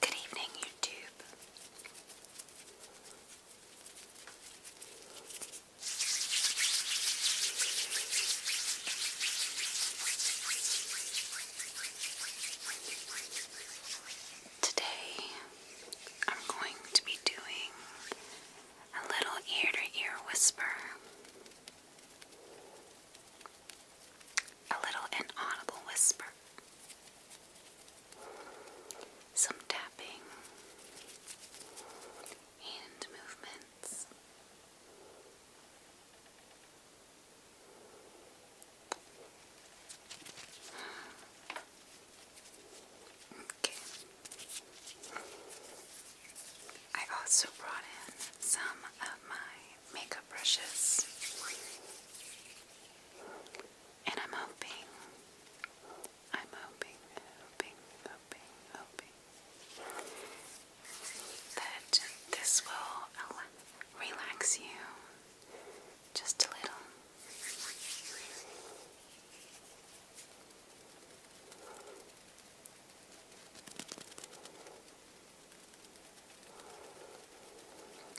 Good evening, YouTube. Today, I'm going to be doing a little ear to ear whisper a little inaudible whisper. Some tapping, hand movements, okay. I also brought in some of my makeup brushes. And I'm hoping, I'm hoping, hoping, hoping, hoping that this will relax you just a little.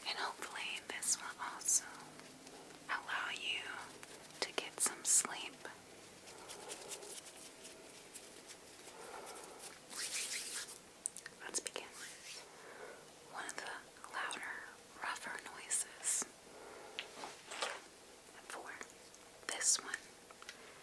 And hopefully, this will also allow you to get some sleep. Let's begin with one of the louder, rougher noises. For this one,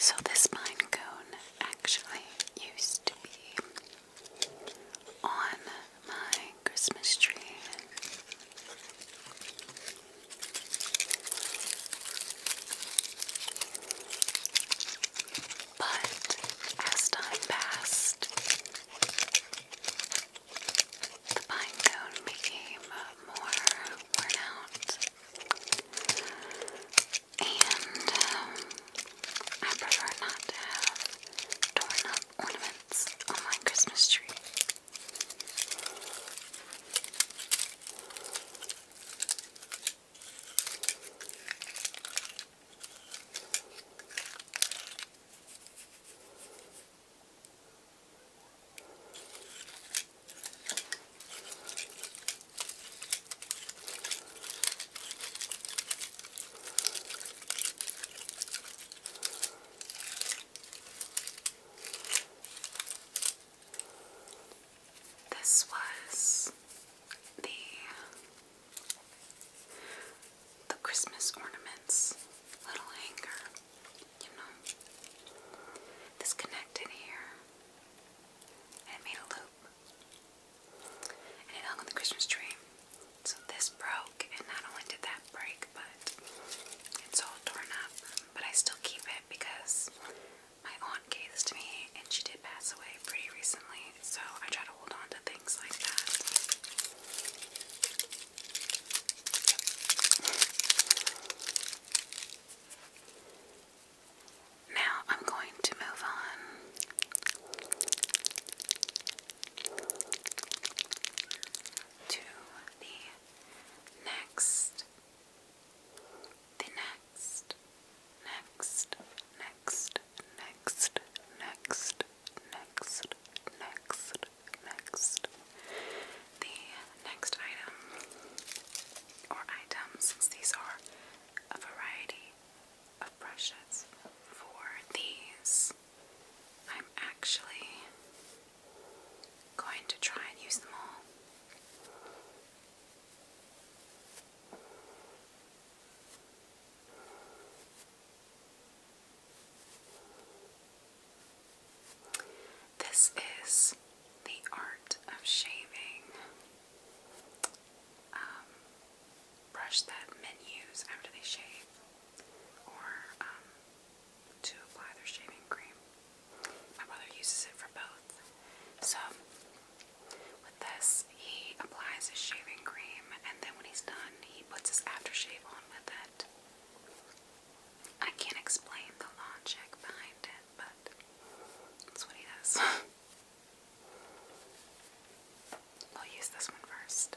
So, this mine actually used to be on my Christmas tree. But as time passed, the pine became more worn out, and um, I prefer not to have torn up ornaments on my Christmas tree. This was the the Christmas ornaments little hanger, you know. This here and made a loop and it hung on the Christmas tree. So this broke, and not only did that break, but it's all torn up. But I still keep it because my aunt gave this to me, and she did pass away pretty recently. So I try to hold on to things like that. Now I'm going to move on to the next, the next, next, next, next, next, next, next, next. The next item or items, these are a variety of brushes. For these, I'm actually going to try and use them all. This is the art of shaving. Um, brush that men use after they shave or um, to apply their shaving cream. My brother uses it for both. So, with this, he applies his shaving cream and then when he's done, he puts his aftershave on with it. I can't explain the logic behind it, but that's what he does. i will use this one first.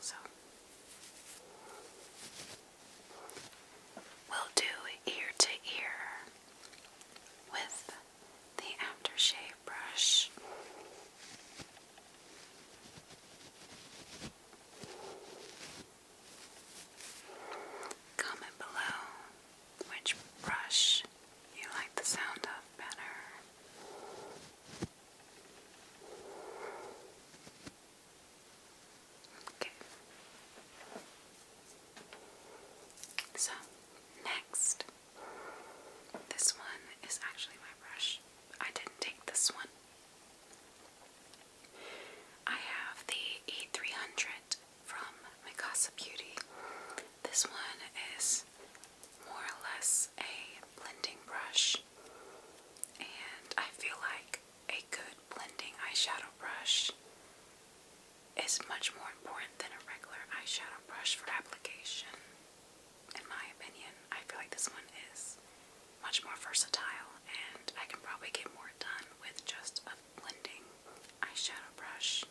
So we'll do ear to ear with the aftershave brush. Comment below which brush you like the sound of better. Okay. So, next. This one is actually my brush. I didn't take this one. I have the E300 from Mikasa Beauty. This one is more or less a blending brush, and I feel like a good blending eyeshadow brush is much more important than a regular eyeshadow brush for application. In my opinion, I feel like this one is much more versatile, and I can probably get more done with just a blending eyeshadow brush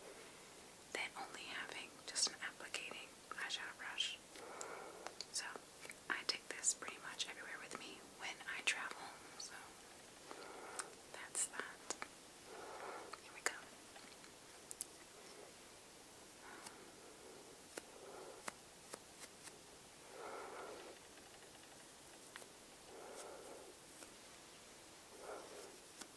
than only having just an applicating eyeshadow brush. So I take this pretty much everywhere with me when I travel. So that's that. Here we go. Okay.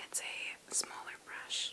It's a smaller brush.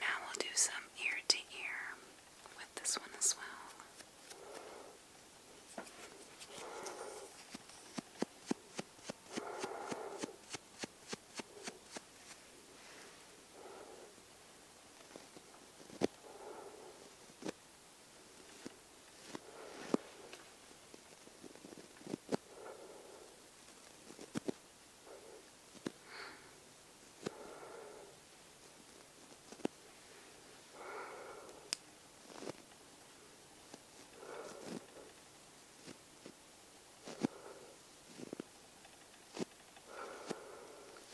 Now we'll do some ear to ear with this one as well.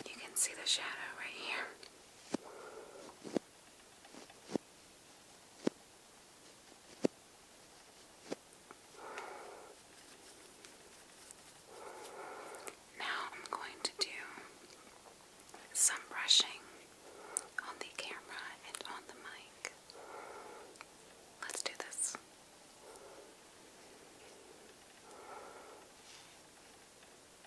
You can see the shadow right here. Now I'm going to do some brushing on the camera and on the mic. Let's do this.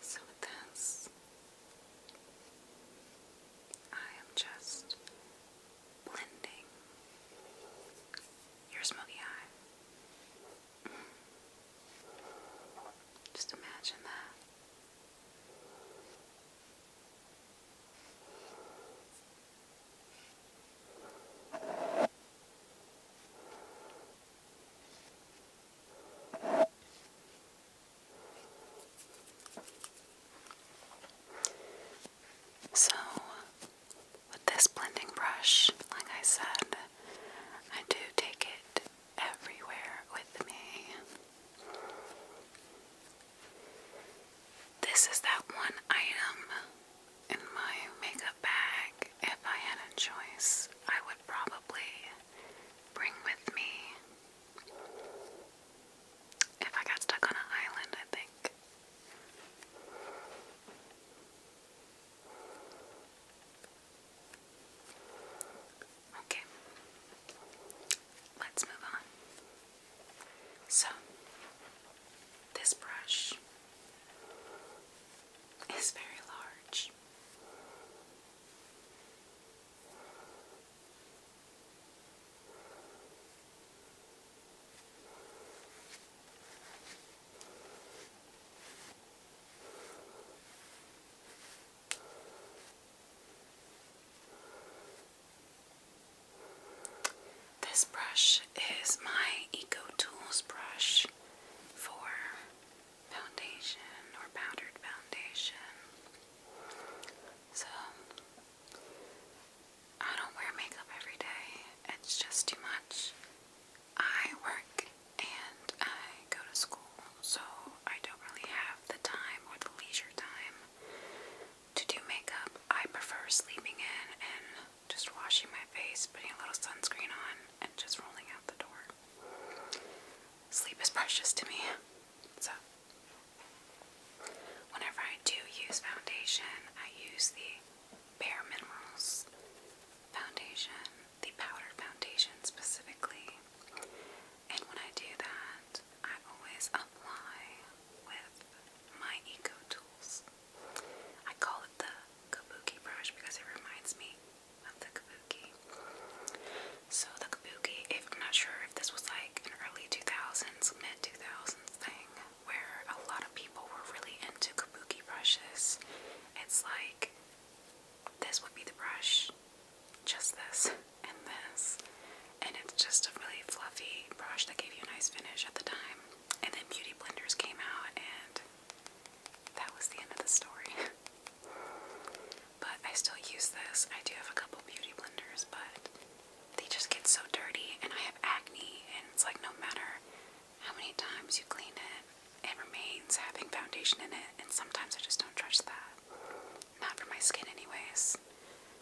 So with this, I am just blending your smoky eye. Just imagine that. So, with this blending brush, like I said, I do take it everywhere with me. This is that one item in my makeup bag. If I had a choice, I would probably bring with me. If I got stuck on an island, I think. Okay, let's move on. So, this brush is very large. This brush is my Eco Tools brush for foundation or powdered foundation. So I don't wear makeup every day, it's just too much. I work and I go to school, so I don't really have the time or the leisure time to do makeup. I prefer sleeping in and just washing my face, putting a little sunscreen on, and just rolling out the door. Sleep is precious to me, so whenever I do use foundation, I use the Bare Minerals foundation, the powder foundation specifically. And when I do that, I always apply with my Eco Tools. I call it the kabuki brush because it reminds me of the kabuki. So, the kabuki, if I'm not sure if this was like an early 2000s, mid 2000s thing where a lot of people were really into kabuki brushes, it's like this would be the brush, just this and this, and it's just a really fluffy brush that gave you a nice finish at the time. And then Beauty Blenders came out, and that was the end of the story. but I still use this. I do have a couple Beauty Blenders, but they just get so dirty, and I have acne, and it's like no matter how many times you clean it, it remains having foundation in it, and sometimes I just don't trust that. Not for my skin, anyways.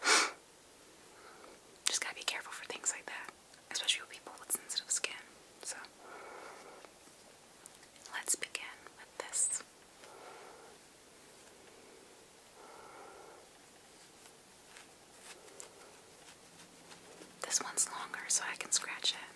just gotta be careful for things like that, especially with people with sensitive skin. So, let's begin with this. This one's longer, so I can scratch it.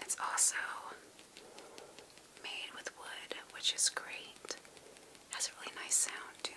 It's also made with wood, which is great. Has a really nice sound to it.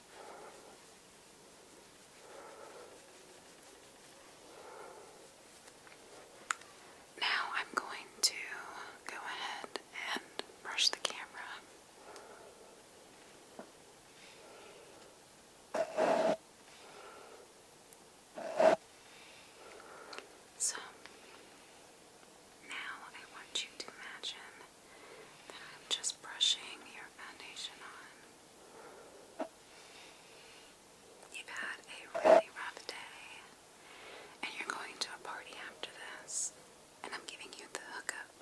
Now I'm going to go ahead and brush the camera. So now I want you to imagine that I'm just brushing your foundation on. You've had a really rough day, and you're going to a party after this, and I'm giving you the hookup.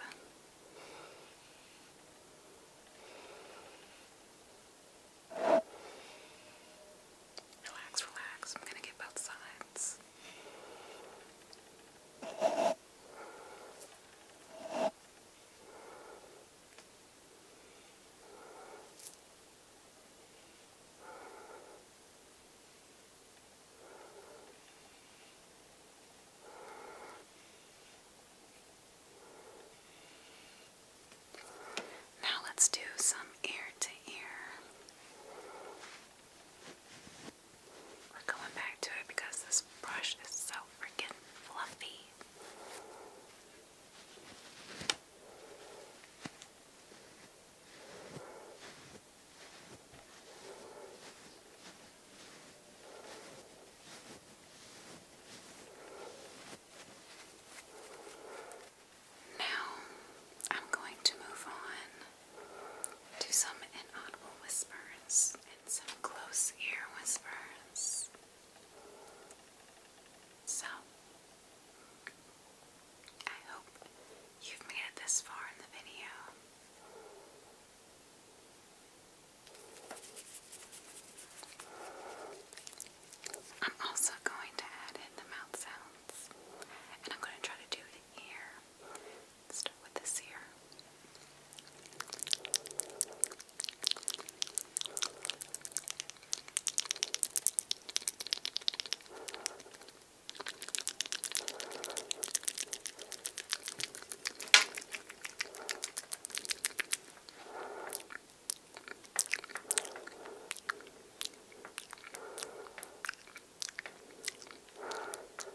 Relax, relax. I'm going to get both sides. Now let's do some ear to ear. We're going back to it because this this brush is so freaking fluffy. Now I'm going to move on to some inaudible whispers whispers and some close ear whispers. So, I hope you've made it this far in the video. I'm also going to add in the mouth sounds, and I'm going to try to do ear Let's start with this here.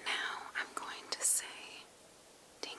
Now I'm going to say dingle.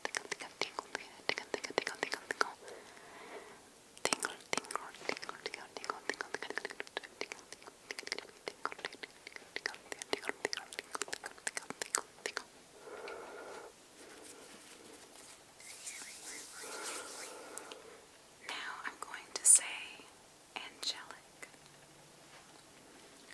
tingle, tingle, now I'm going to say angelic.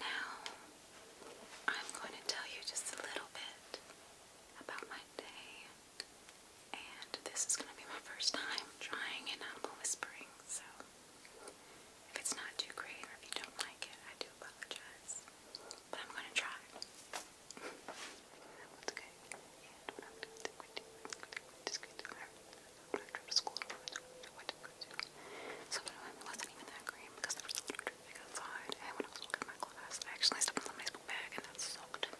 Now, I'm going to tell you just a little bit about my day, and this is going to be my first time trying it on whispering, so if it's not too great or if you don't like it, I do apologize, but I'm going to try. that good. I'm to school, what did it wasn't even that green because there was a little everything outside. And when I was looking at my clothes, I actually stepped on somebody's book bag and that sucked. I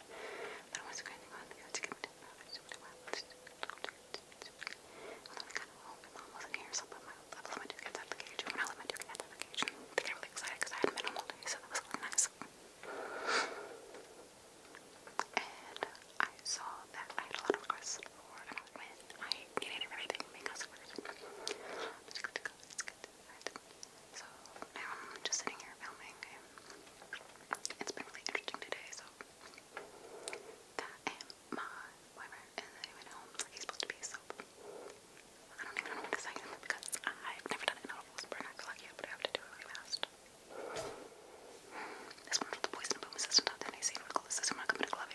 don't on to get it. I just went I my mom wasn't here, so I let my, I let inside the cage. And when I let my duke inside the cage, they got really excited because I hadn't been home all day, so that was really nice. And I saw that I had a lot of requests when I get everything because of it. It's good to go, it's good. So now I'm just sitting here filming. It's been really interesting today, so that my boyfriend isn't even home like supposed to be, so I don't even know what to say because I've never done it in a whisper and I feel like yeah, but I have to do it really fast. This one for the poison boom assistant out there, I see it with glue. This is my company glove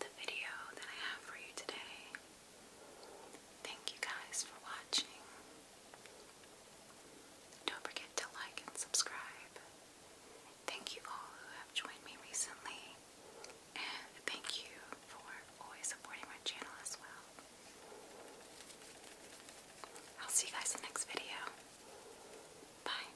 the video that I have for you today. Thank you guys for watching. Don't forget to like and subscribe. Thank you all who have joined me recently, and thank you for always supporting my channel as well. I'll see you guys in the next video. Bye.